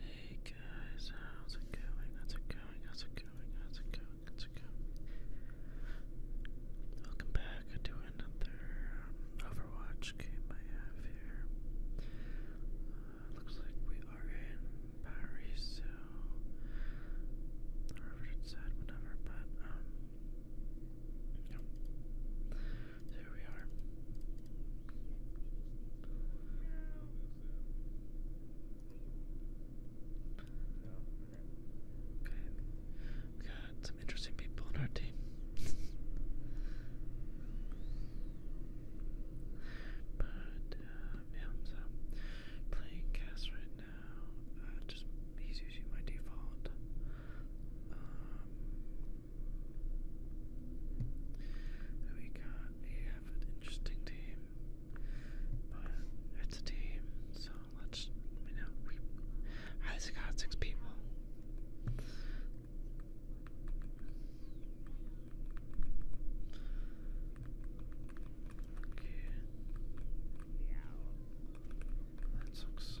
Hey guys, how's it going? How's it going? How's it going? How's it going? How's it going? Welcome back to another um, Overwatch game I have here. Uh, looks like we are in Paris, so or if said, whatever, but um, there we are. Okay. We got some interesting people on our team. but um, playing cast right now. Uh, just he's usually my default. Um, we got we have an interesting team, but it's a team, so let's you know we I got six people. Okay. That sucks.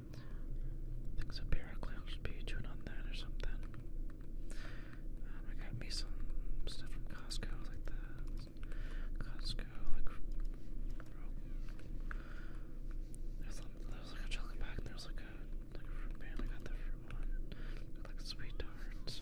I think it's a Barraclown Pikachu on that or something. Um, I got me some stuff from Costco, like the Costco, like, there's, like a chocolate pack, and there's like a, like a band, I got the fruit one, like sweet tarts.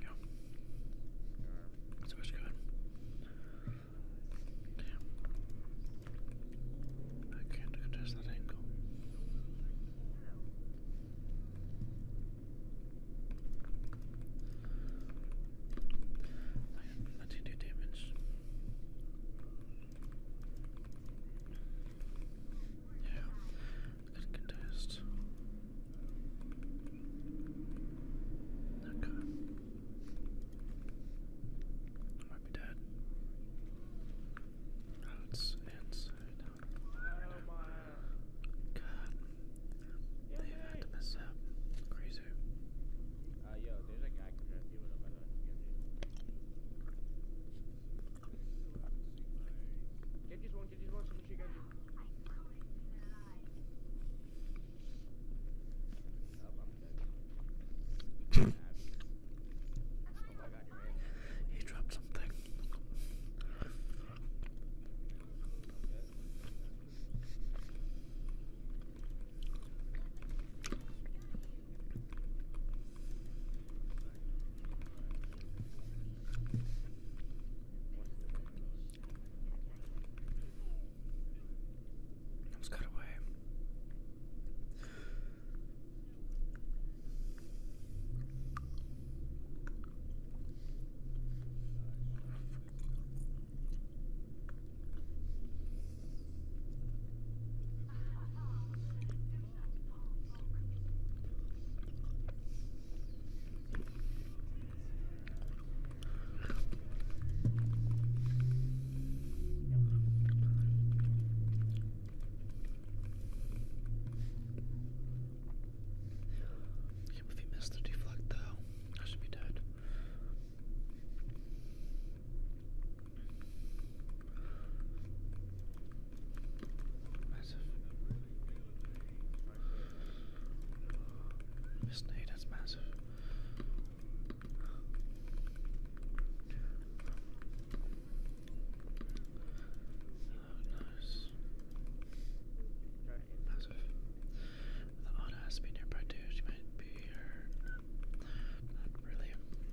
Yeah. So it's good. I can't contest that angle. Let's do damage. Yeah, I can contest. Okay. I might be dead. it's inside. god. They've had to mess up. Crazy. Uh, Give just one, give just one, someone shoot Genji. He dropped something. Let's cut away can he missed the deflect I should be dead. Massive. Miss Nate, that's massive. Oh, nice. Massive. The auto has to be nearby too. She might be here. Not really.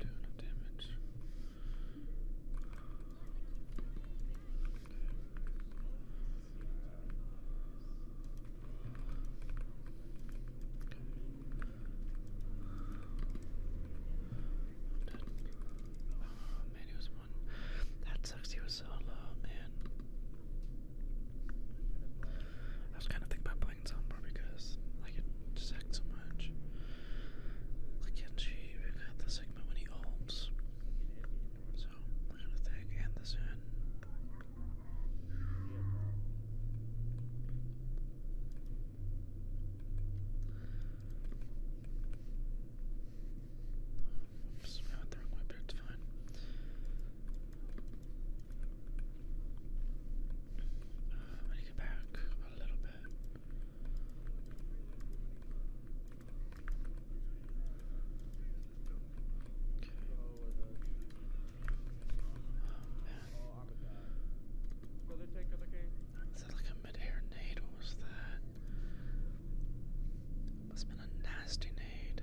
I'm doing damage. Oh man, he was one. That sucks. He was so low, man. I was kind of thinking about because I get sacked so much. Like Genji, we got the Sigma when he ults. So, we're gonna thing and the Oops, I went the wrong way, but it's fine. I need get back a little bit. Okay. that like a mid-air nade? What was that? That's been a nasty nade.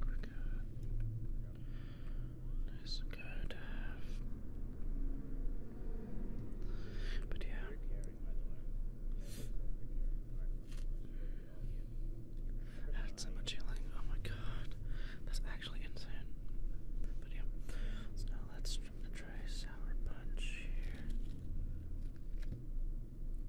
But yeah. That's so much healing. Oh my god. That's actually insane. But yeah. So now let's try sour punch here.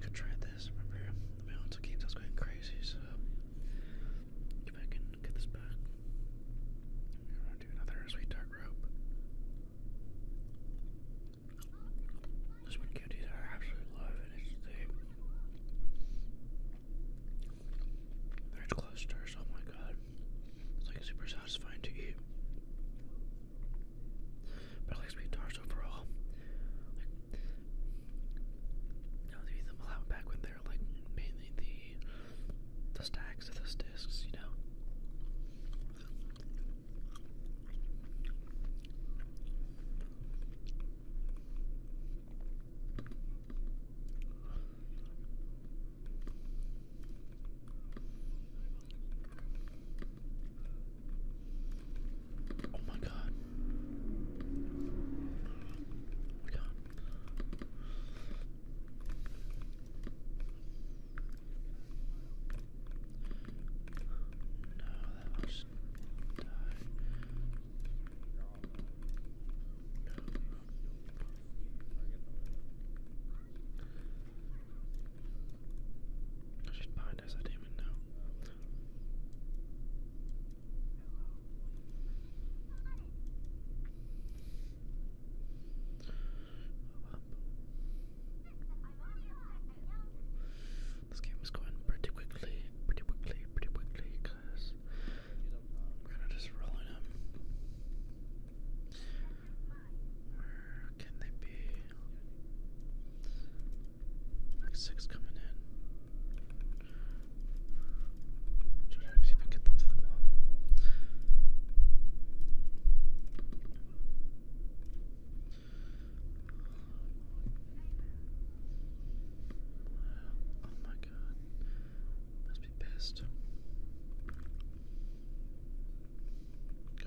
Could try this. Remember, the balance of games I was going crazy, so if I can get this back, I'm gonna do another sweet dark rope. This one cuties I absolutely love, and it's the ranch clusters. Oh my god, it's like super satisfying to eat. But I like sweet tarts overall. I was eating them a lot back when they were like mainly the the stacks of those discs, you know. Oh my god. Oh my god. No, that was die. No. She's behind us, I didn't even know. This game is going pretty quickly, pretty quickly, pretty quickly, we're kind of just rolling them. Where can they be? six coming in. Should I actually even get them to the wall? Oh my god. Must be pissed. Okay.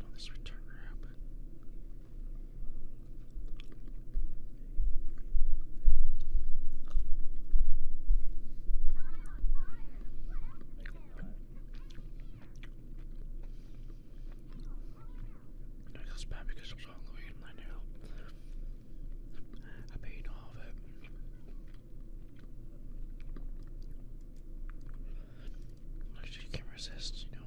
Will this returner happen? I feel bad because I'm so hungry and I I've eaten all of it. She can not resist, you know.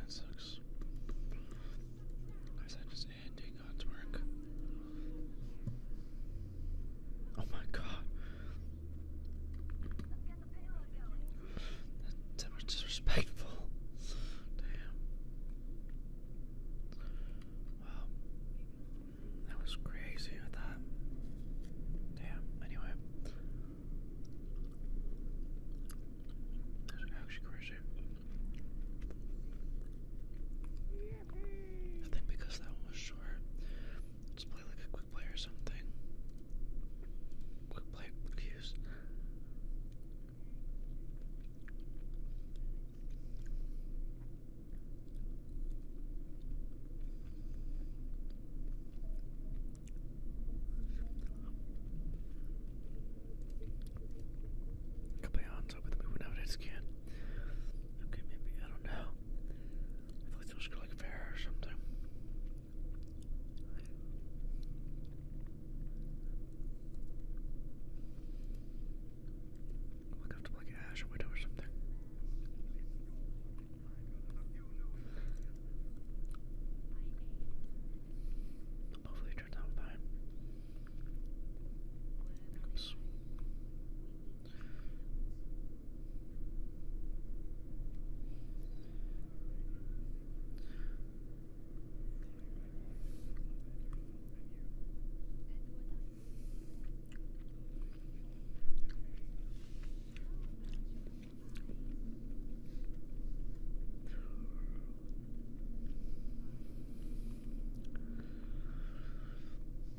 That sucks. is that just ending God's work? Oh my god. That's disrespectful. Damn. Wow. That was crazy, I Damn, anyway. That actually crazy. I think because that one was short, let's play like a quick play or something. Quick play cues. Capeon's up with me whenever it's can. Okay, maybe I don't know. I feel like those should go like fair or something. I'm gonna have to like Ash Widow or something. Hopefully it turns out fine. Oops.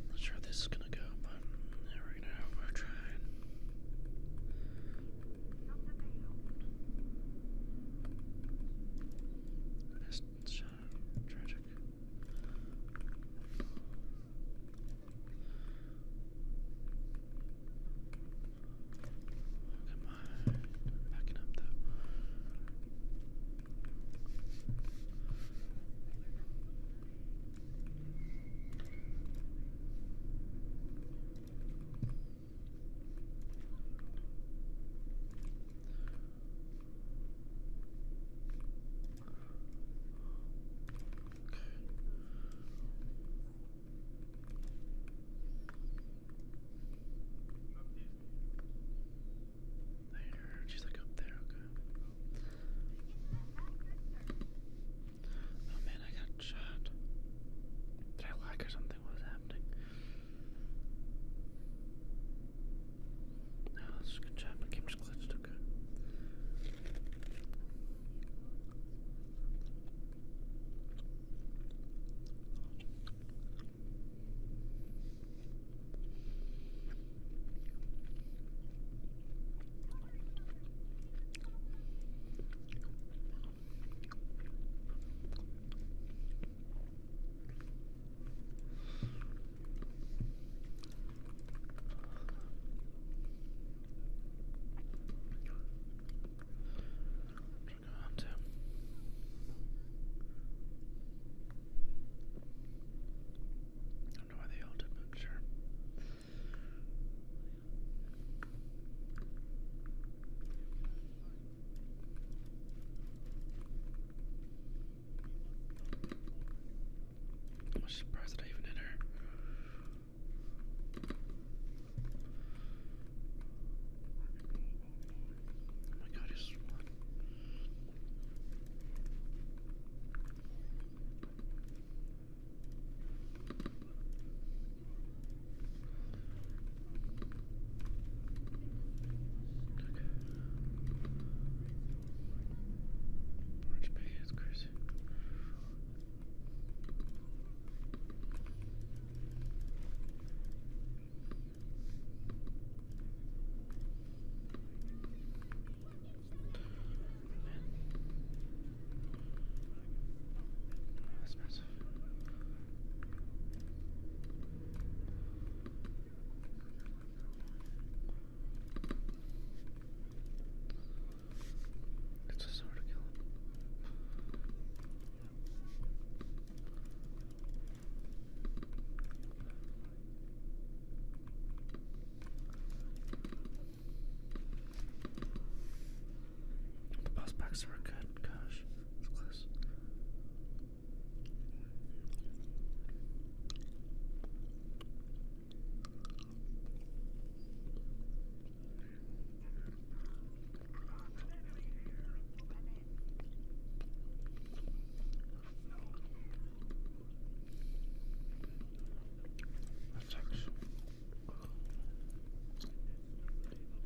Not sure how this is gonna go, but we're gonna we're trying. That's uh, tragic. come on. backing up, though. There, she's like up there, okay. Oh man, I got chat. Did I lag or something? was happening? No, that's a good chat, but game glitched, okay. I don't know why they all did, but sure. I'm surprised that I even hit her. Oh my god, Orange pants, Chris. Man. Oh, that's massive. It's a sword to kill him. The boss backs are good. Gosh, it's close. That's actually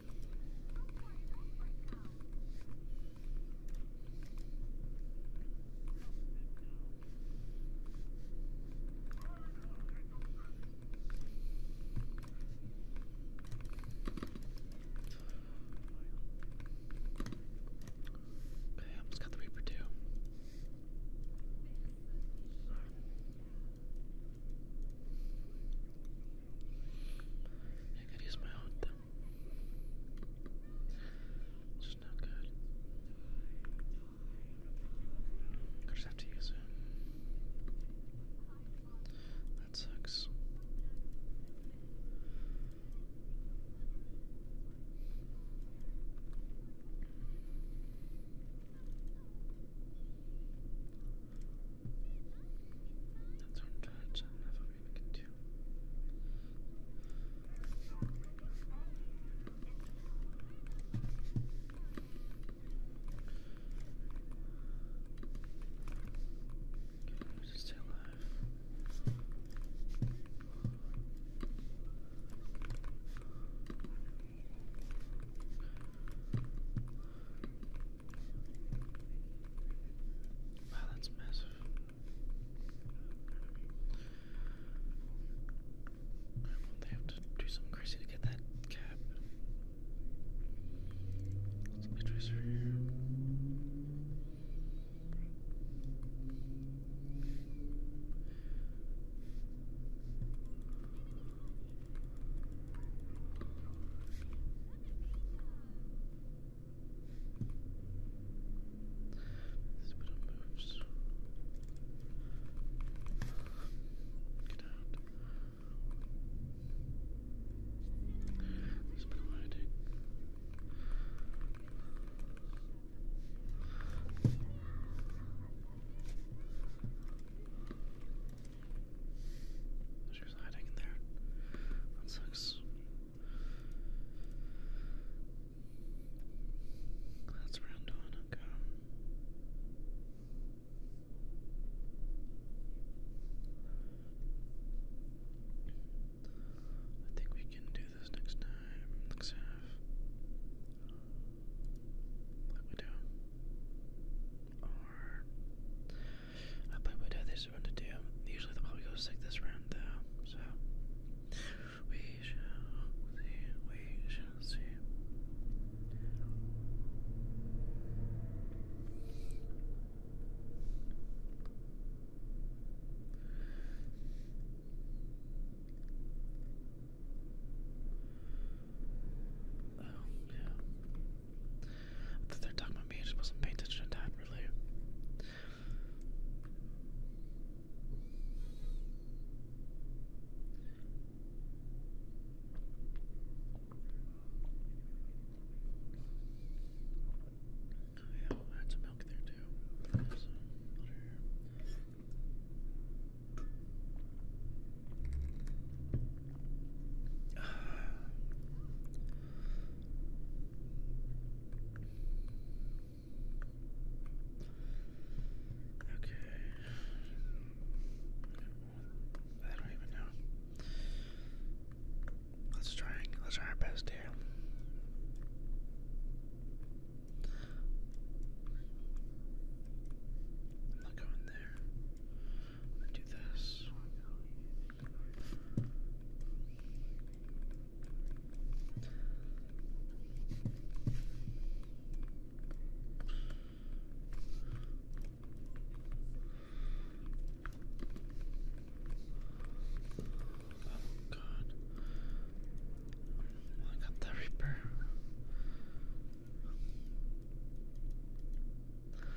Okay, I almost got the Reaper too. I could use my own It's not good. I just have to use it. That sucks. That's on touch. I don't have what we just stay alive. Wow, that's massive. they have to do something crazy to get that cap? Let's play tracer here. This bit of moves. Get out. This bit of hiding. This she was hiding in there. That sucks. That's round one, okay. I think we can do this next time, next half. Like we do. I played my dad this round to do. Usually the probably goes sick this round though, so we shall see. We shall see. Oh, yeah. I thought they were talking about me, I just wasn't paying attention to that, really. Oh, yeah, I had some milk there too. Okay. I don't even know. Let's try let's try our best here. I'm not going there do this. Oh god. I got the Reaper.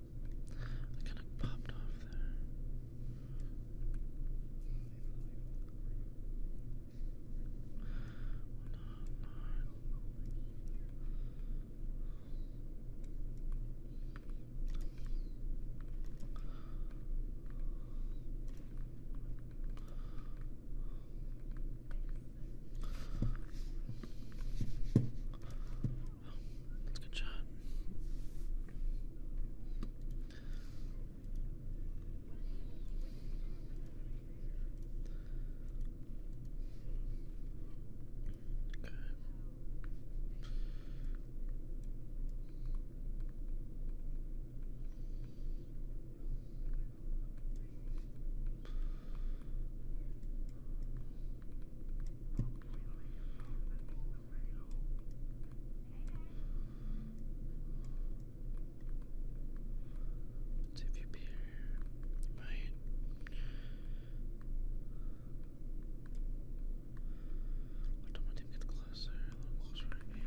I kind of popped off there that's a good shot. Okay let if you appear. Right. I don't want to get closer, a little closer again.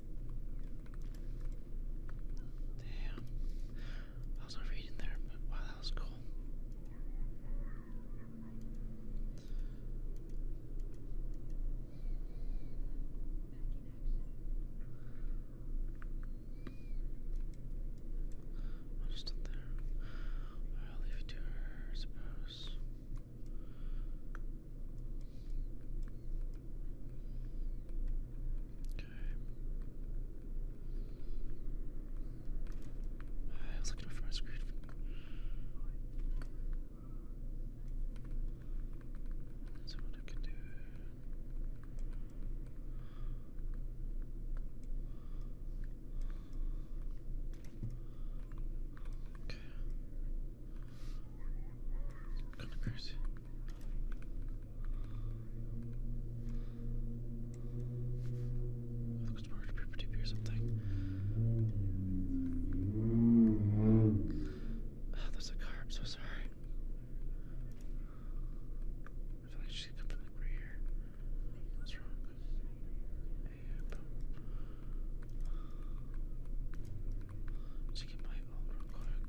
Damn. I was reading there, wow, that was cool. I'll just there. I'll leave it to I suppose. I was looking for my screen. That's what I can do. Okay. Kind of crazy. I think it's more or something. Oh, a car. am so sorry. I feel like she's coming like right here. What's wrong? Let's get my own real quick.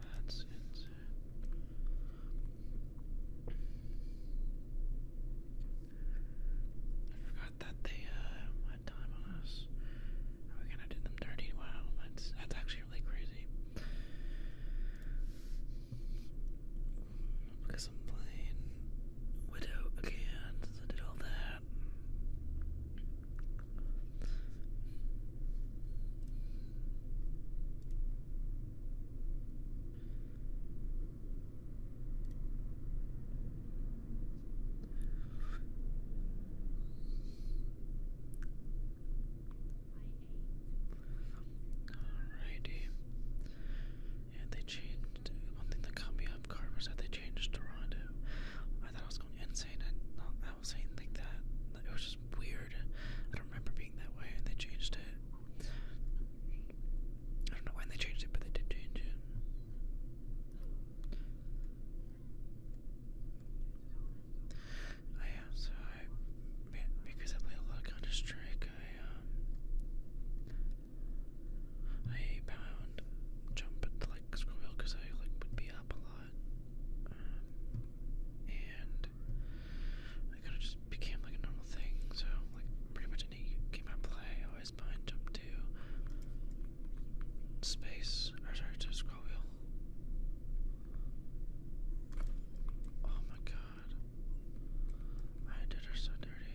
That's insane. I forgot that they uh, had time on us. Are we gonna do them dirty? Wow, that's that's actually really crazy. Because I'm playing Widow again since I did all that. Alrighty. Yeah, they changed. One thing that caught me off guard was that they changed Toronto. I thought I was going insane. I was saying like that. It was just weird. I don't remember being that way, and they changed it. I don't know when they changed it, but they did change it. I am uh, because I played a lot of Counter Strike. I um I pound jump to like squirrel because I like would be up a lot. Um, and it kind of just became like a normal thing. So like pretty much any game I play, always buy jump to space. Or sorry, to scroll wheel. Oh my god. I did her so dirty.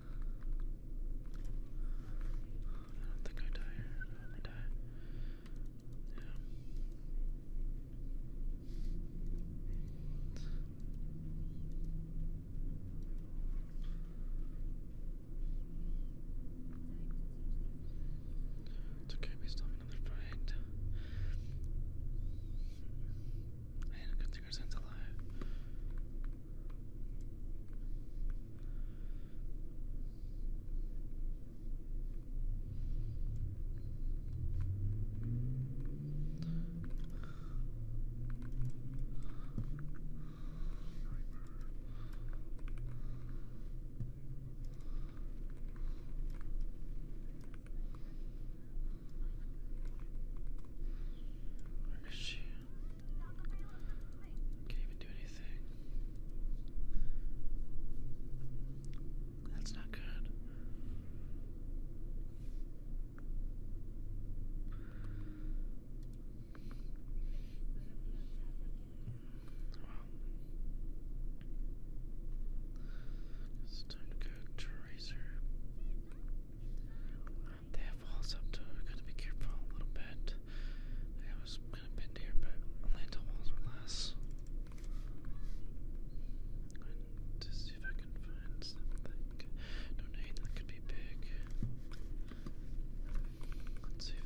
I don't think I die here. I hope I die. Yeah. It's okay, we still another fight. And Consumer Sense Alive. Where is she? Can't even do anything. That's not good. it's time to go to Racer they have walls up too. gotta be careful a little bit. I was gonna bend here, but Atlanta walls were less. to see if I can find something. Donate that could be big. Let's see if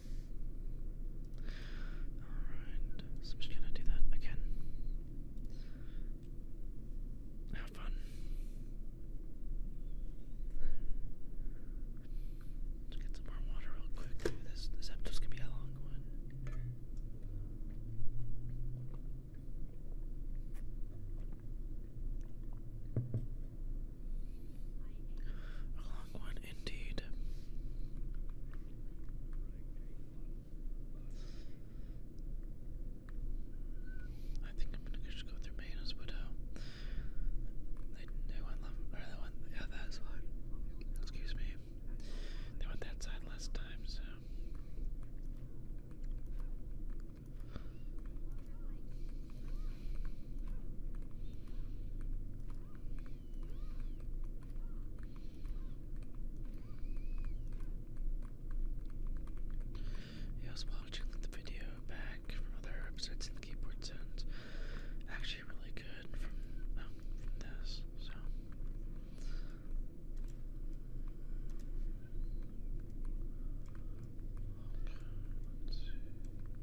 Alright, so I'm just gonna do that again. Have fun. Let's get some more water real quick. this this episode's gonna be a long one. A long one indeed. I think I'm gonna go through Manos Widow. They, they went left, they went, yeah, that's why. Excuse me. They went that side last time, so. I was watching the video back from other episodes and the keyboard sounds actually really good from, um, this, so. let's see.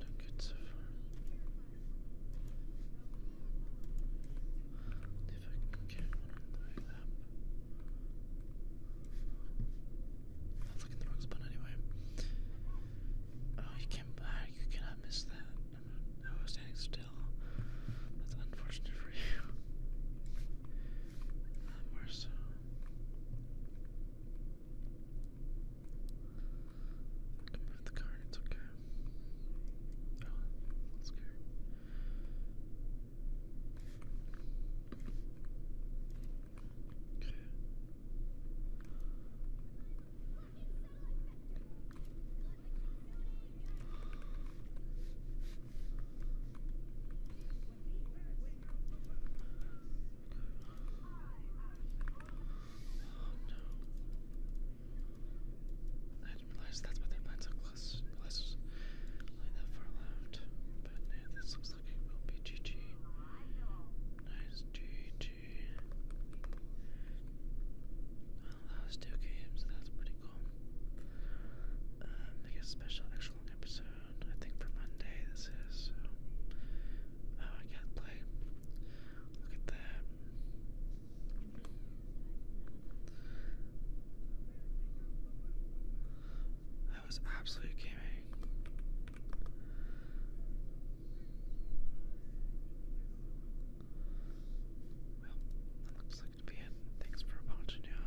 Don't get so far. If I can get one on the way up. That's like in the wrong spot anyway. Oh, you can't. you cannot miss that. i was standing still. That's unfortunate for you. Uh, I can move the car, it's okay. Oh, that's good. Okay no. I didn't realize that's what their lines look less, less like that far left. But yeah, this looks like it will be GG. Nice GG. last two games, that's pretty cool. Um, I special extra long episode. I think for Monday this is. Oh, I can't play. Look at that. That was absolutely gaming. Well, that looks like to be it. Thanks for watching, y'all.